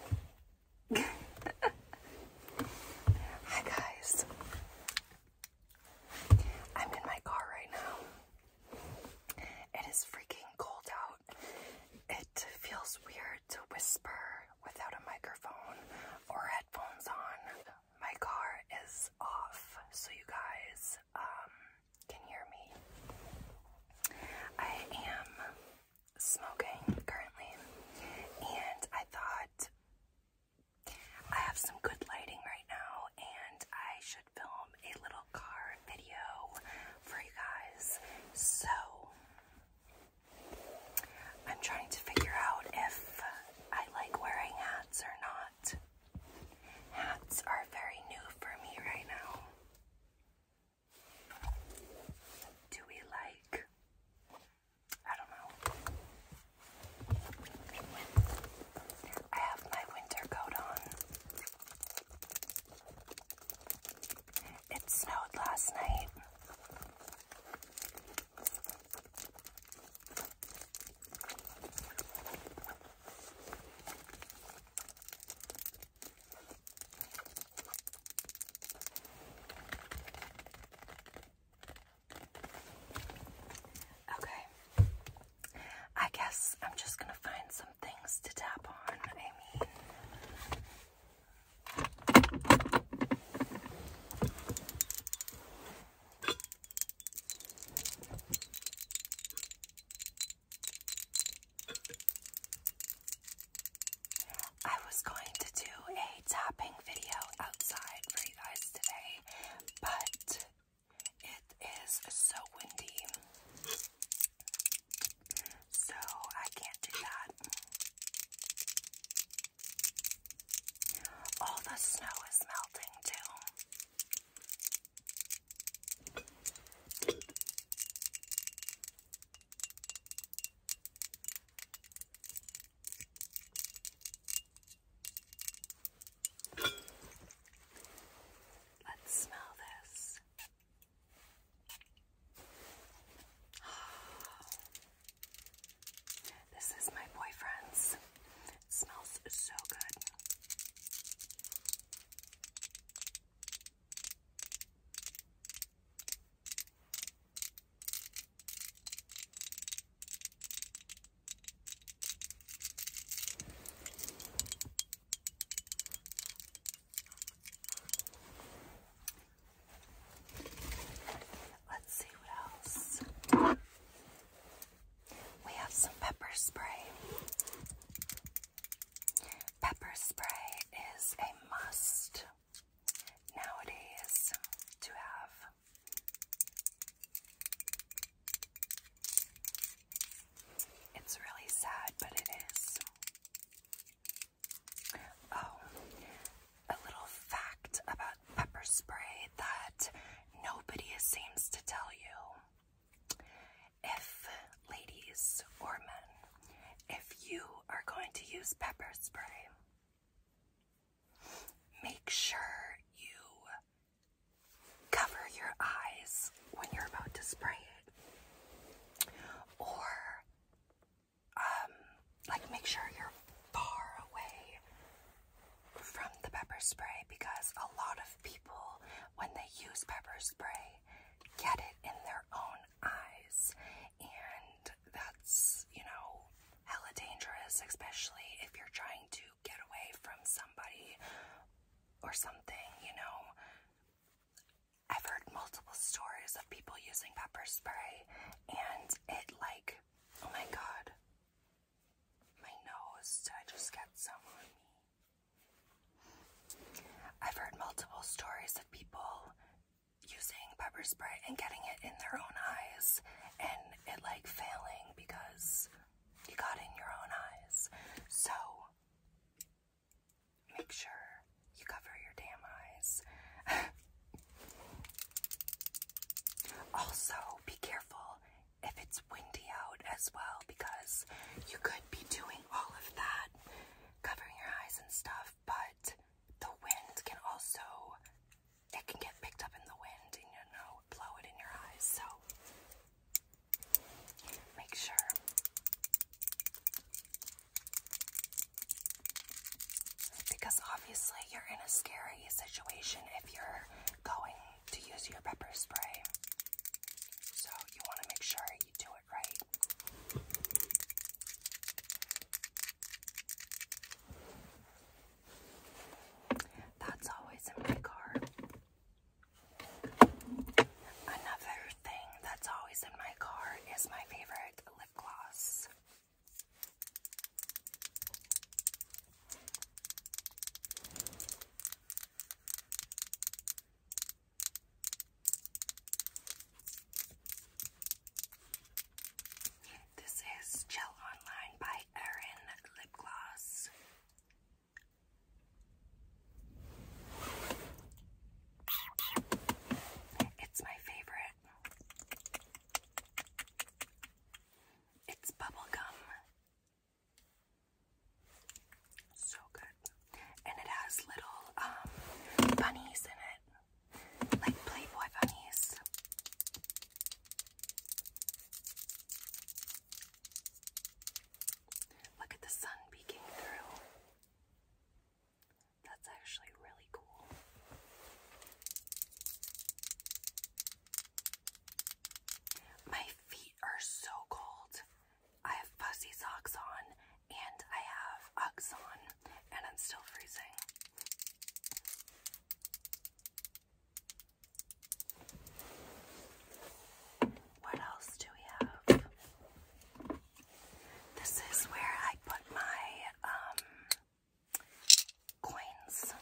Hi guys. I'm in my car right now. It is freaking cold out. It feels weird to whisper without a microphone or headphones on. My car is off, so you guys um, can hear me. I am smoking currently, and I thought I have some good lighting right now, and I should film a little car video for you guys. So, I'm trying to figure out if I like wearing hats or not. Hats are very new for me right now. Do we like, I don't know, I have my winter coat on. It snowed last night. Okay. I guess I'm just going to find some things to tap on. I I was going to do a tapping video outside for you guys today, but it is so windy. So I can't do that. All the snow is melting too. Let's smell this. Oh, this is my boyfriend's. smells so good. Let's see what else. We have some pepper spray. Pepper spray is a must nowadays to have. It's really sad, but it is. Oh, a little fact about pepper spray that nobody seems to tell you if ladies or men, if you are going to use pepper spray, make sure you cover your eyes when you're about to spray it, or um, like make sure you're far away from the pepper spray because a lot of people, when they use pepper spray, get it in their own eyes, and that's, you know, hella dangerous, especially if you're trying to get away from somebody or something, you know. I've heard multiple stories of people using pepper spray, and it, like, oh my god, my nose, I just get some on me? I've heard multiple stories of people using pepper spray and getting it in their own eyes and it like failing because you got in your own eyes. So make sure you cover your damn eyes. also, be careful if it's windy out as well because you could be doing all of that covering your eyes and stuff, but the wind can also it can get picked up in the wind and you know blow it in your eyes. So make sure because obviously you're in a scary situation if you're going to use your pepper spray. So you want to make sure that's always in my car. Another thing that's always in my car is my favorite lip gloss. This is Gel Online by Erin Lip Gloss. It's my favorite. It's bubblegum so good. And it has little um, bunnies in it. Like Playboy bunnies. Look at the sun peeking through. That's actually really cool. My feet are so cold. I have fuzzy socks on and I have Uggs on and I'm still freezing. What else do we have? This is where I put my um coins.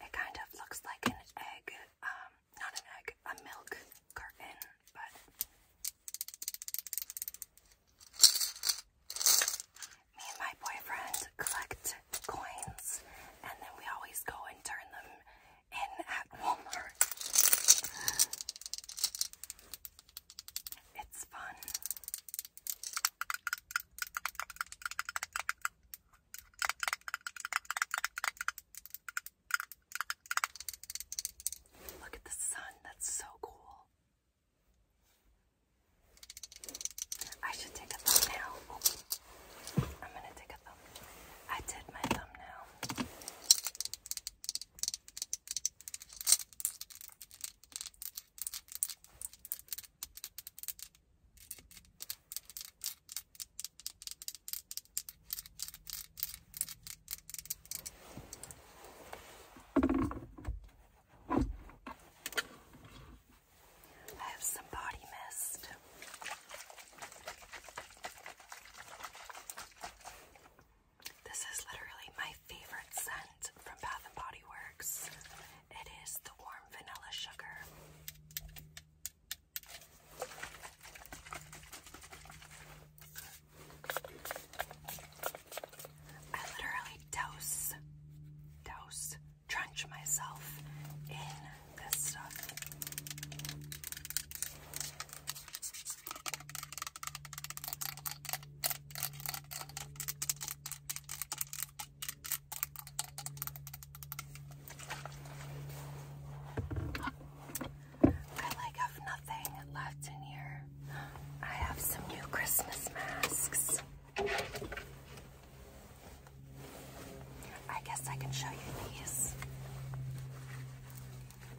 It kind of looks like an egg, um, not an egg, a milk carton, but me and my boyfriend collect coins and then we always go and turn them in at Walmart. It's fun. Look at the sun, that's so cool. I should take a thumbnail. I'm gonna take a thumbnail. I did my thumbnail. I have some body mist. This is literally my favorite scent from Bath and Body Works. It is the warm vanilla sugar. I literally dose, dose, drench myself in this stuff. I like have nothing left in here. I have some new Christmas masks. I guess I can show you these.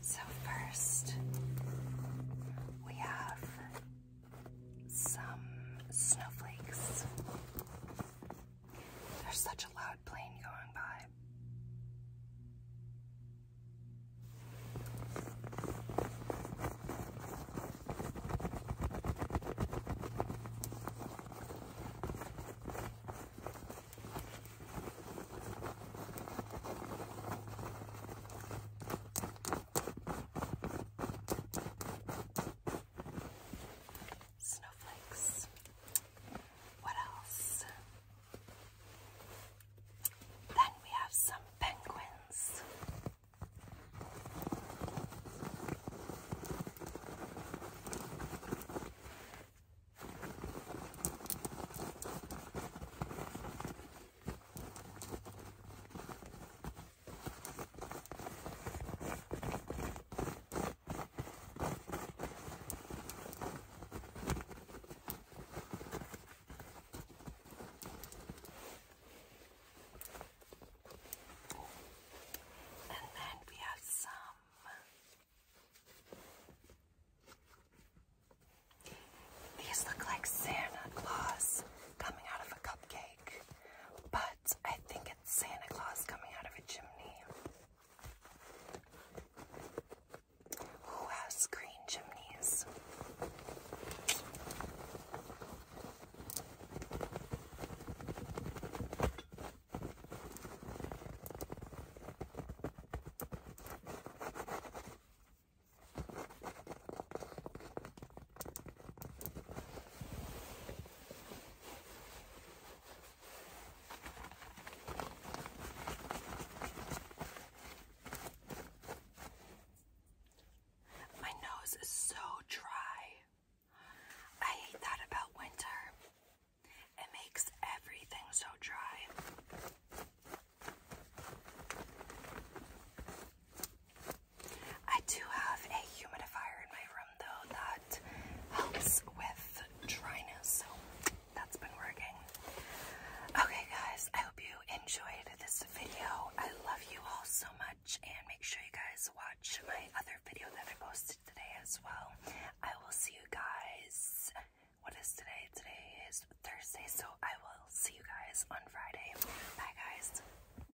So first, we have some snowflakes. There's such a loud plane going by snowflakes. What else? Then we have some penguins. And then we have some these look like Santa Claus coming out of a cupcake but I think it's Santa Claus coming out of a chimney. Who has green chimneys? My nose is so dry. I hate that about winter. It makes everything so dry. I do have a humidifier in my room though that helps with dryness, so that's been working. Okay guys, I hope you enjoyed this video. I love you all so much and make sure you guys watch my other video that I posted today as well. I will see you guys what is today? Today is Thursday, so I will see you guys on Friday. Bye guys.